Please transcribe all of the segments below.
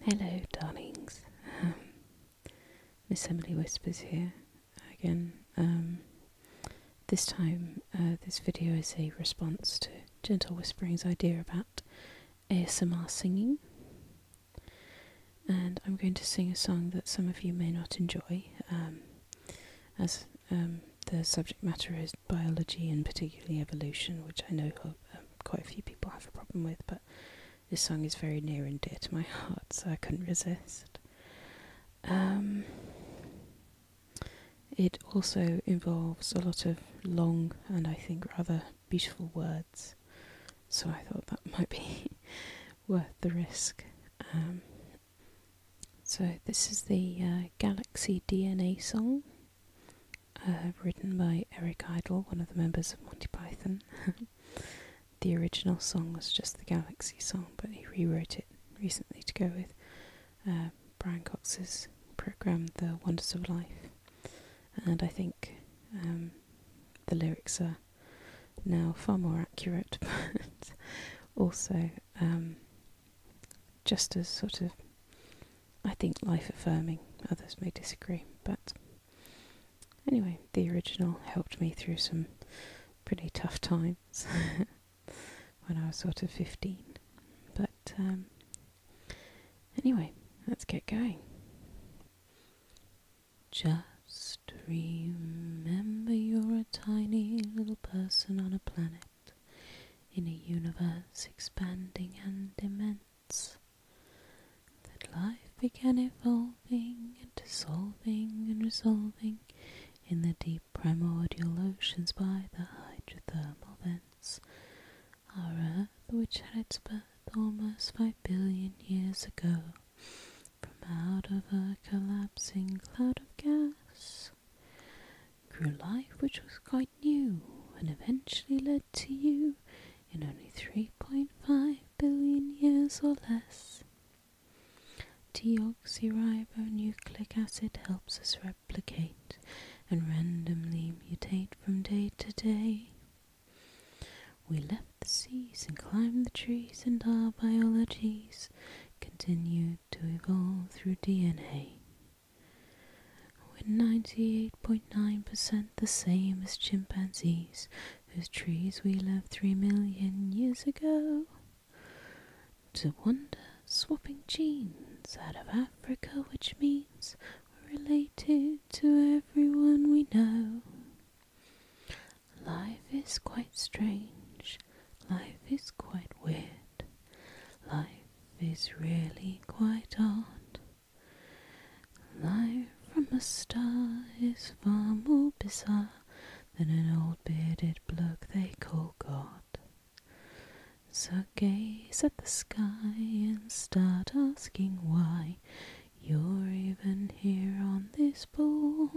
Hello, darlings. Um, Miss Emily Whispers here again. Um, this time, uh, this video is a response to Gentle Whispering's idea about ASMR singing. And I'm going to sing a song that some of you may not enjoy, um, as the subject matter is biology and particularly evolution, which I know uh, um, quite a few people have a problem with, but this song is very near and dear to my heart, so I couldn't resist. Um, it also involves a lot of long and I think rather beautiful words, so I thought that might be worth the risk. Um, so, this is the uh, Galaxy DNA song uh, written by Eric Idle, one of the members of Monty Python. the original song was just the Galaxy song, but he rewrote it recently to go with uh, Brian Cox's program, The Wonders of Life. And I think um, the lyrics are now far more accurate, but also um, just as sort of, I think, life affirming. Others may disagree, but anyway, the original helped me through some pretty tough times when I was sort of 15. But um, anyway, let's get going. Just remember you're a tiny little person on a planet in a universe expanding and immense, that life began evolving and dissolving and resolving in the deep primordial oceans by the hydrothermal vents. Our Earth, which had its birth almost five billion years ago, from out of a collapsing cloud of gas grew life which was quite new and eventually led to you in only 3.5 billion years or less. Deoxyribonucleic acid helps us replicate and randomly mutate from day to day. We left the seas and climbed the trees, and our biologies continued to evolve through DNA. We're 98.9% the same as chimpanzees, whose trees we left three million years ago. To wonder, swapping genes out of Africa, which means we're related to everyone we know. Life is quite strange, life is quite weird, life is really quite odd. Life from a star is far more bizarre than an old bearded bloke they call God. So gaze at the sky and start asking why you're even here on this ball.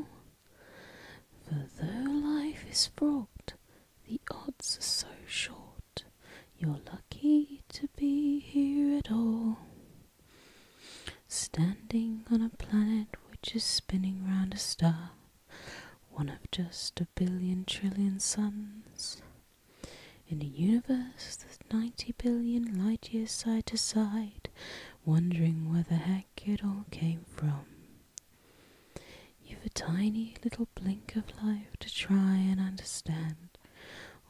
For though life is fraught, the odds are so short, you're lucky to be here at all. Standing on a planet which is spinning round a star, one of just a billion trillion suns, in a universe that's 90 billion light years side to side, wondering where the heck it all came from. You've a tiny little blink of life to try and understand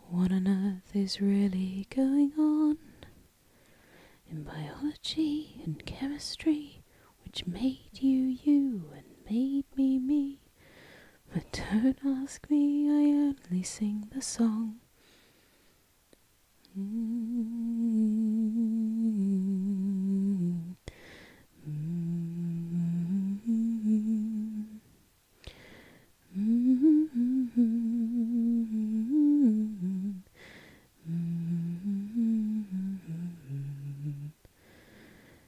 what on earth is really going on. In biology and chemistry, which made you you and made me me. But don't ask me, I only sing the song.